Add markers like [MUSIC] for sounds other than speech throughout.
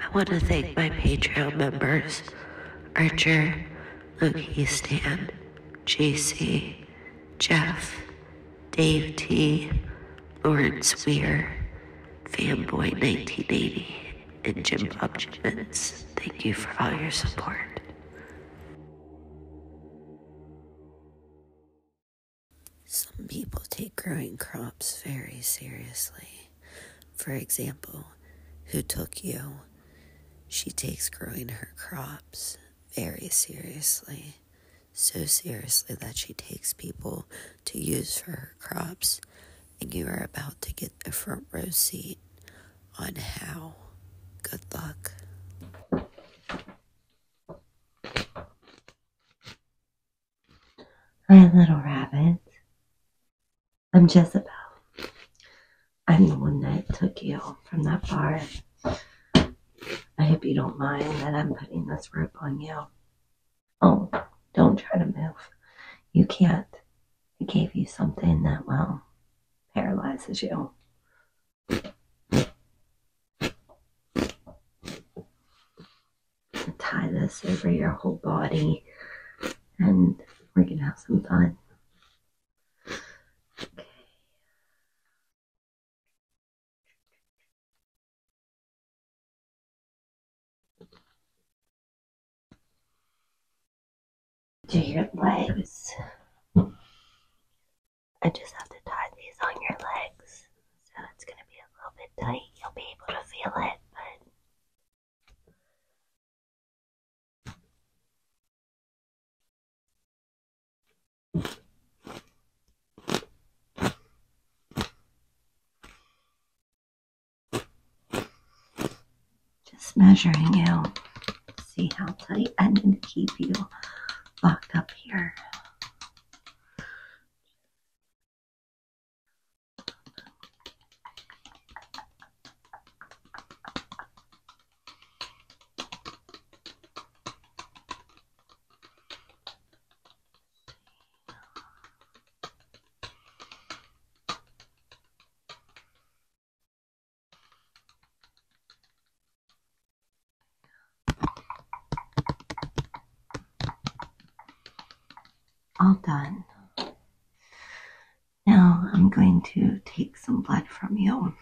I want to thank my Patreon members Archer, Luke Easton, JC, Jeff, Dave T, Lawrence Weir, Fanboy 1980, and Jim Bob Gibbons. Thank you for all your support. Some people take growing crops very seriously. For example, who took you? She takes growing her crops very seriously so seriously that she takes people to use for her crops, and you are about to get a front row seat on how. Good luck. Hi, little rabbit. I'm Jezebel. I'm the one that took you from that bar I hope you don't mind that I'm putting this rope on you. Oh, don't try to move. You can't. I gave you something that, will paralyzes you. Tie this over your whole body, and we're gonna have some fun. Okay. Do your legs. I just have to tie these on your legs, so it's going to be a little bit tight. You'll be able to feel it, but just measuring you. See how tight I need to keep you locked up here. All done. Now I'm going to take some blood from you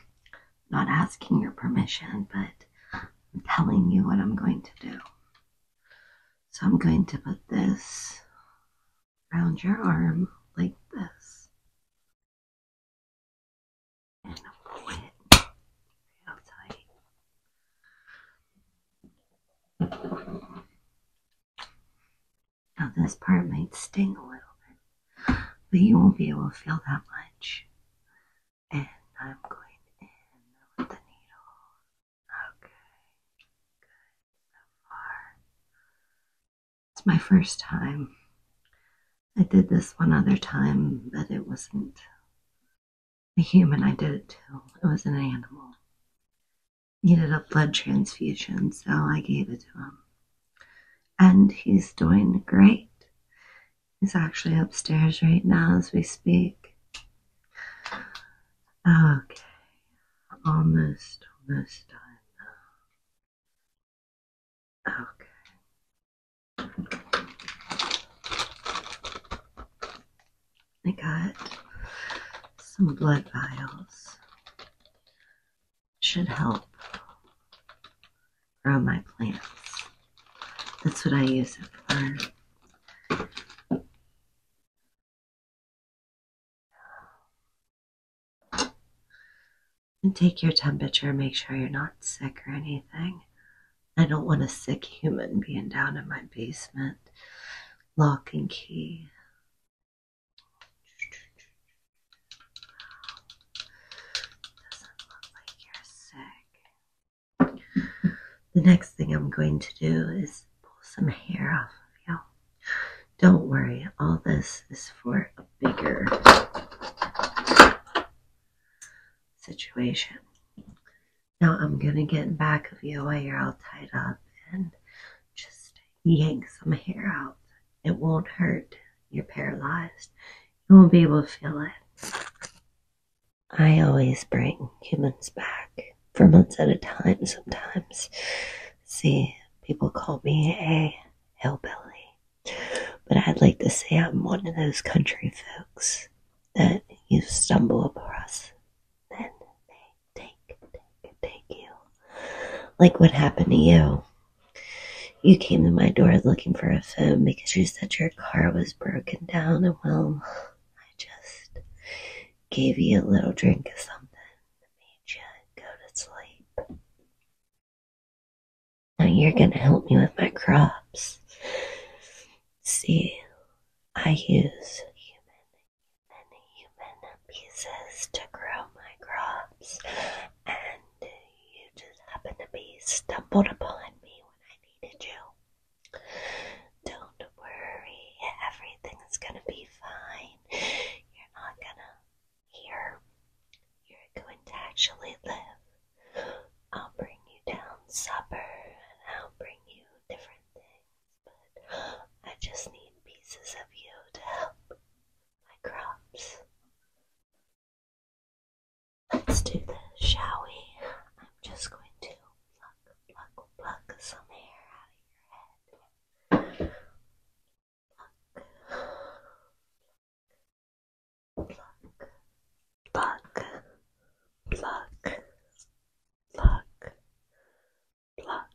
not asking your permission, but I'm telling you what I'm going to do. So I'm going to put this around your arm like this. And I'll pull it real tight. Now this part might sting a little bit, but you won't be able to feel that much and I'm going in with the needle. Okay, good so far. It's my first time. I did this one other time, but it wasn't a human I did it to. It was an animal. Needed a blood transfusion, so I gave it to him. And he's doing great. He's actually upstairs right now as we speak. Okay, almost, almost done now. Okay. I got some blood vials. Should help grow my plants. That's what I use it for. And take your temperature, make sure you're not sick or anything. I don't want a sick human being down in my basement. Lock and key. Doesn't look like you're sick. The next thing I'm going to do is pull some hair off of you. Don't worry, all this is for a bigger situation. Now I'm going to get back of you while you're all tied up and just yank some hair out. It won't hurt. You're paralyzed. You won't be able to feel it. I always bring humans back for months at a time sometimes. See, people call me a hillbilly, but I'd like to say I'm one of those country folks that you stumble across, then they take, take, take you. Like what happened to you. You came to my door looking for a phone because you said your car was broken down, and well, I just gave you a little drink of something that made you go to sleep. Now you're gonna help me with my crops. See, I use human, human pieces to grow my crops, and you just happened to be stumbled upon me when I needed you. Don't worry, everything's gonna be fine. You're not gonna hear. You're going to actually live. I'll bring you down supper and I'll bring you different things, but I just need pieces of you to help my crops. Let's do this, shall we? I'm just going to pluck, pluck, pluck some hair out of your head. Pluck, pluck, pluck, pluck, pluck, pluck, pluck.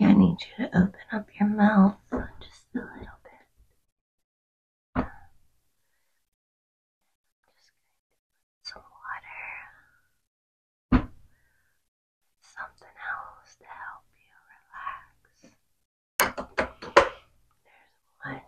Okay, I need you to open up your mouth just a little bit. Just some water. Something else to help you relax. There's one.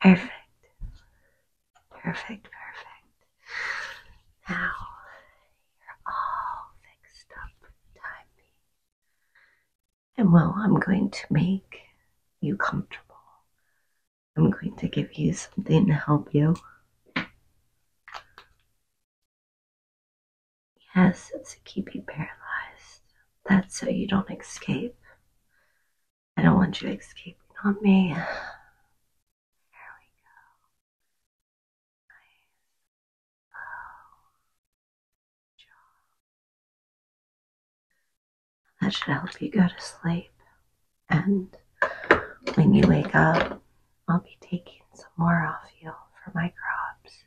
Perfect. Perfect, perfect. Now you're all fixed up, timey. And well, I'm going to make you comfortable. I'm going to give you something to help you. Yes, it's to keep you paralyzed. That's so you don't escape. I don't want you escaping on me. [SIGHS] There we go. Nice. Low. Oh, that should help you go to sleep. And when you wake up, I'll be taking some more off you for my crops.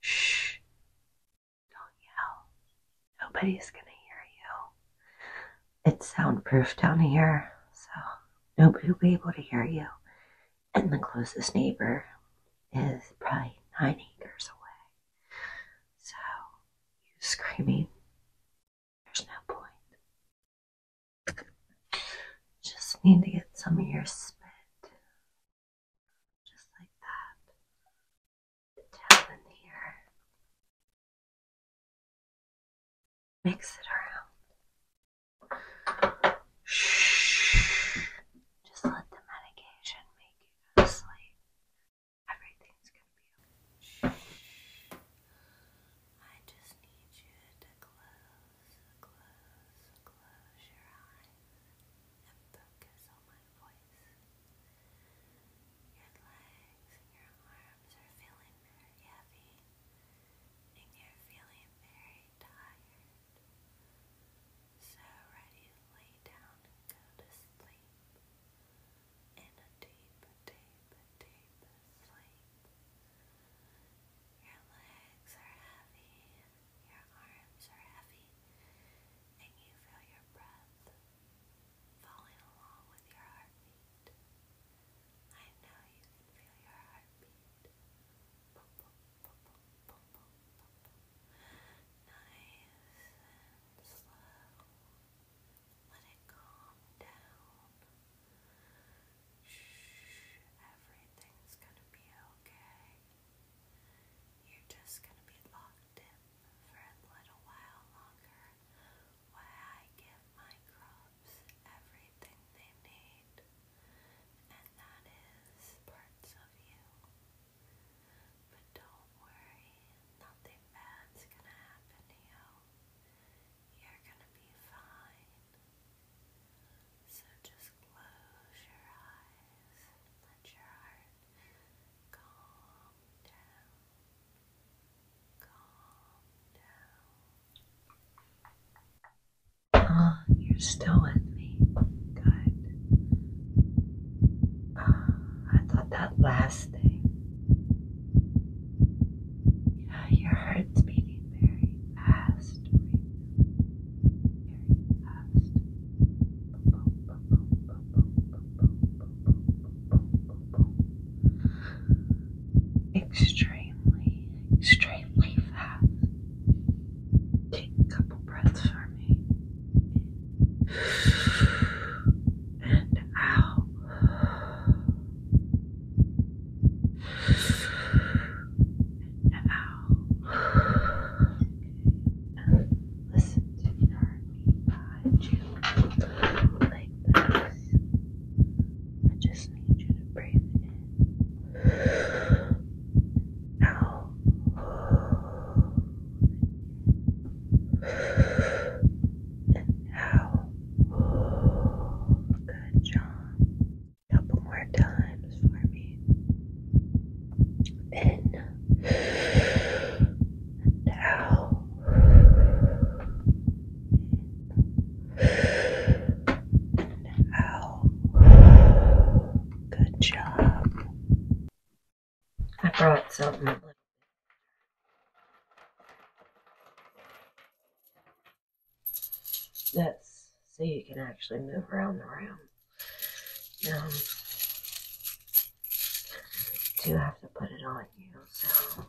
Shh. Don't yell. Nobody's going to hear you. It's soundproof down here, so nobody will be able to hear you. And the closest neighbor is probably nine acres away. So, you screaming there's no point. Just need to get some of your spit. Just like that. Down here. Mix it around. Shh. Just let the medication make you sleep. Everything's gonna be Shh. I just need you to close, close, close your eyes and focus on my voice. Your legs and your arms are feeling very heavy and you're feeling very tired. So ready to lay down and go to sleep in a deep, deep, deep sleep. Your legs are heavy, your arms are heavy, and you feel your breath falling along with your heartbeat. I know you can feel your heartbeat. Nice slow. Let it calm down. Shh, everything's gonna be okay. You're just gonna be locked in for a little while longer while I give my crops everything they need, and that is parts of you. But don't worry, nothing bad's gonna happen to you. You're gonna be fine. So just close your eyes let your heart calm down. Calm down. Ah, you're still with me. Good. Ah, I thought that last thing yeah, your heart's beating very fast Very fast. Extremely, extremely fast. Take a couple breaths for me. And out. And now, okay. listen to me guide you like this. I just need you to breathe in. Now. And now good job. Couple more times for In out. In out. Good job. I brought something. Let's see. you can actually move around the room. Um, do have to put it on you, so.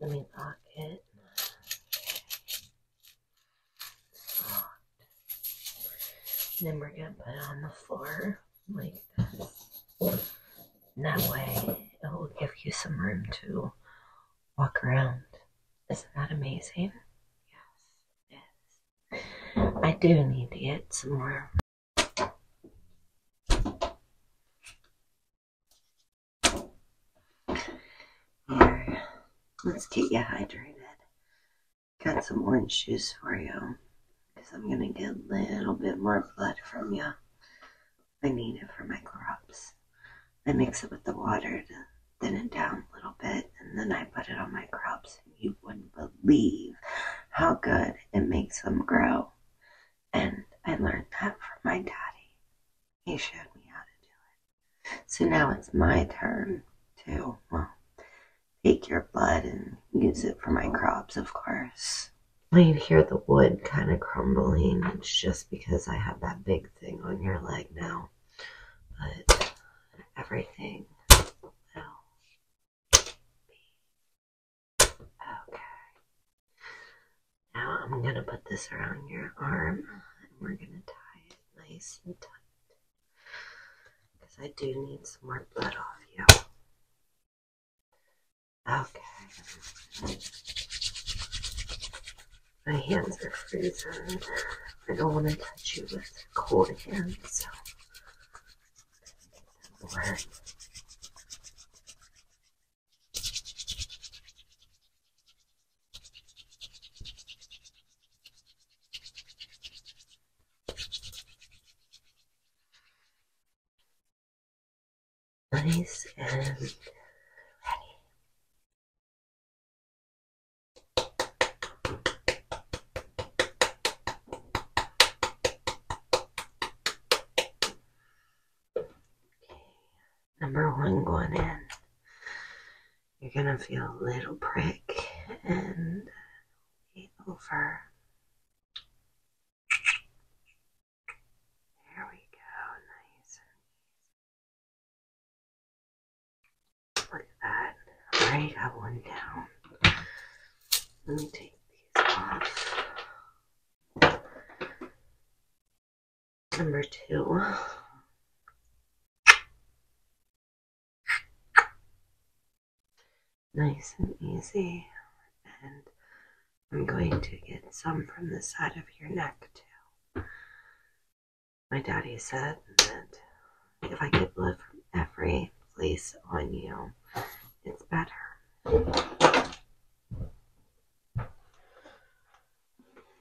Let me lock it. Okay. Then we're gonna put it on the floor like this. And that way it will give you some room to walk around. Isn't that amazing? Yes, yes. I do need to get some more. Here, let's get you hydrated. Got some orange juice for you because I'm going to get a little bit more blood from you. I need it for my crops. I mix it with the water to thin it down a little bit, and then I put it on my crops. And you wouldn't believe how good it makes them grow. And I learned that from my daddy. He showed me how to do it. So now it's my turn to, well, take your blood and use it for my crops, of course. Laying here, the wood kind of crumbling. It's just because I have that big thing on your leg now. But everything will be okay. Now I'm going to put this around your arm and we're going to tie it nice and tight. Because I do need some more blood off you. Okay. My hands are freezing. I don't want to touch you with cold hands, so nice and ready. Okay. Number one going in, you're gonna feel a little prick and over. There we go, nice and easy. Look at that. I got one down. Let me take these off. Number two. Nice and easy. And I'm going to get some from the side of your neck, too. My daddy said that if I could live from every place on you, it's better.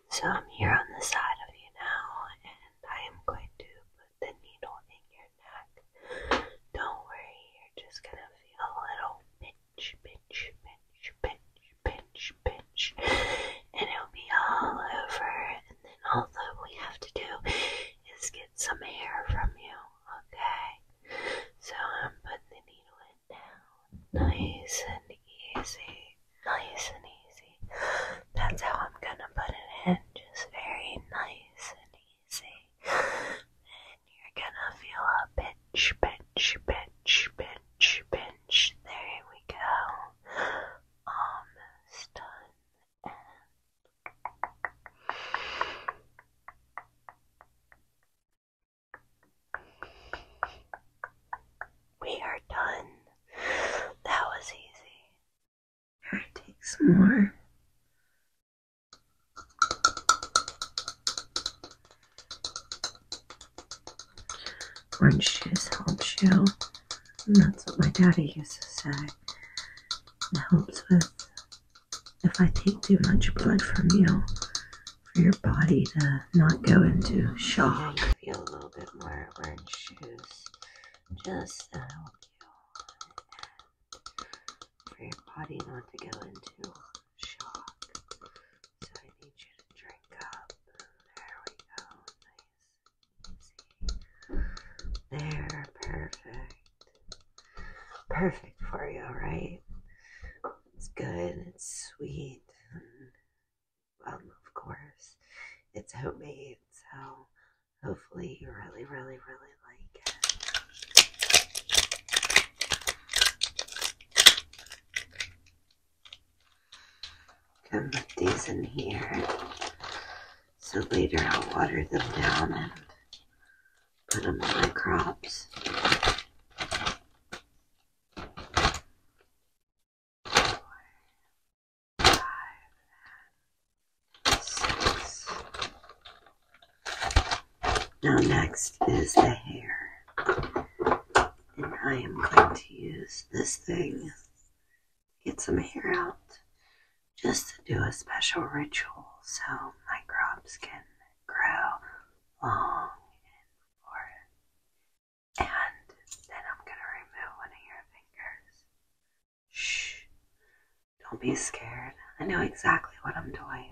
So I'm here on the side of you now, and I am going to put the needle in your neck. Don't worry, you're just gonna feel a little pinch pinch, pinch, pinch, pinch, pinch, and it'll be all over. And then all that we have to do is get some hair from you, okay? So I'm putting the needle in now, nice and easy, nice and easy. That's how I'm gonna put it in, just very nice and easy. And you're gonna feel a pinch, pinch pinch, pinch, pinch, pinch. There we go. Almost done. we are done. That was easy. Here, take some more. Crunches helps you. that's what my daddy used to say. It helps with if I take too much blood from you, for your body to not go into shock. You feel a little bit more orange juice just help you, for your body not to go into shock. So I need you to drink up. There we go. Nice. Easy. There. Perfect. Perfect for you, right? It's good. It's sweet. And, um, of course, it's homemade. So hopefully you really, really, really like it. Can put these in here. So later I'll water them down and put them in my crops. Now next is the hair and I am going to use this thing to get some hair out just to do a special ritual so my crops can grow long and forward. And then I'm going to remove one of your fingers. Shh. Don't be scared. I know exactly what I'm doing.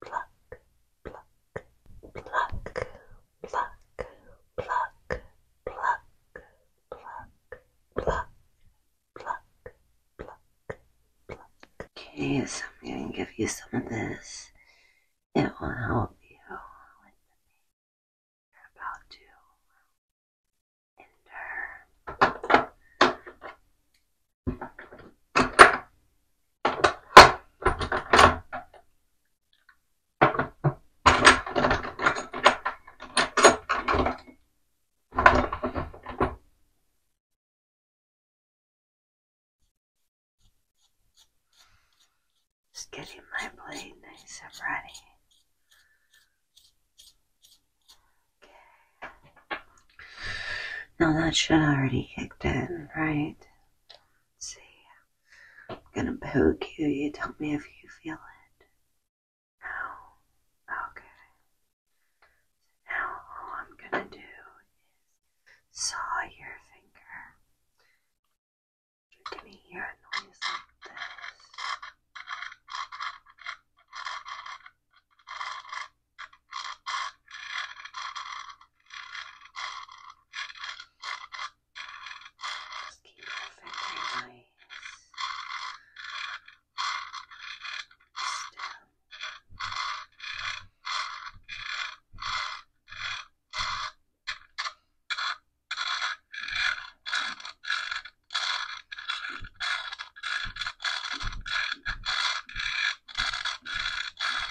pluck, pluck, pluck, pluck, pluck, pluck, pluck, pluck, pluck, pluck, pluck. Okay, so I'm going to give you some of this. It will help you you're about to endure. Just getting my blade nice and ready. Okay. Now that should already kicked in, right? Let's see. I'm gonna poke you. You tell me if you feel it. No. Okay. now all I'm gonna do is saw your finger. You're gonna hear a noise like this. Just keep your fingers still. Just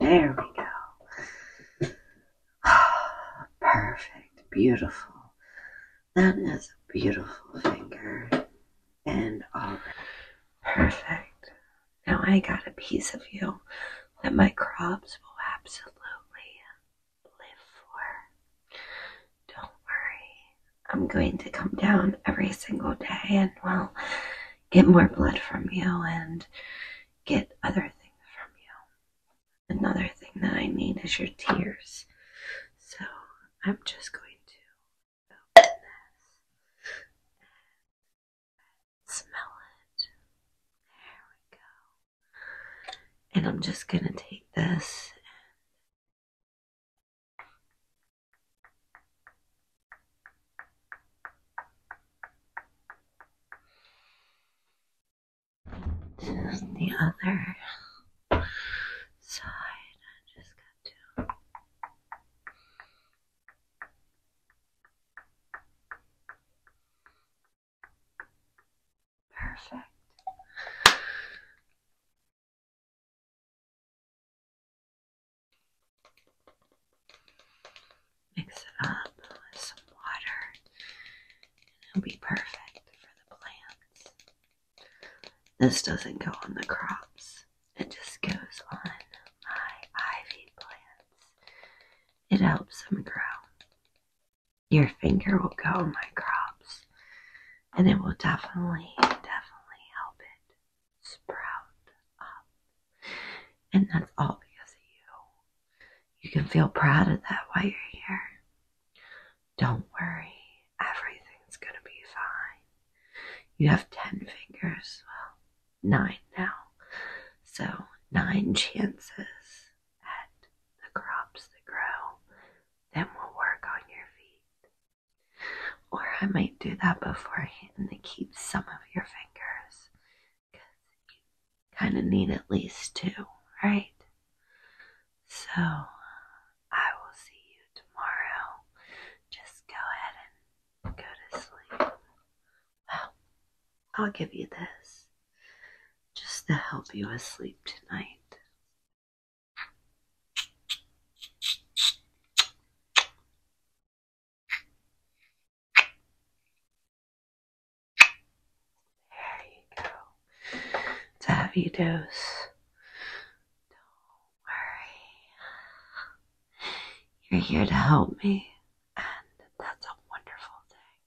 There we go. [SIGHS] Perfect. Beautiful. That is a beautiful finger. And all right. Perfect. Now I got a piece of you that my crops will absolutely live for. Don't worry, I'm going to come down every single day and, we'll get more blood from you and get other things from you. Another thing that I need is your tears. So I'm just going to smell it. There we go. And I'm just going to take this the other side. I just got to. Perfect. Mix it up with some water, and it'll be perfect for the plants. This doesn't go on the crops, it just goes on my ivy plants. It helps them grow. Your finger will go on my crops, and it will definitely, definitely help it sprout up. And that's all because of you. You can feel proud of that while you're here. Don't worry, everything's going to be fine. You have 10 fingers, well, 9 now. So, 9 chances at the crops that grow. Then we'll work on your feet. Or I might do that beforehand to keep some of your fingers you kind of need at least two, right? So I will see you tomorrow. Just go ahead and go to sleep. Well, I'll give you this just to help you asleep tonight. There you go. It's a Don't worry. You're here to help me, and that's a wonderful thing.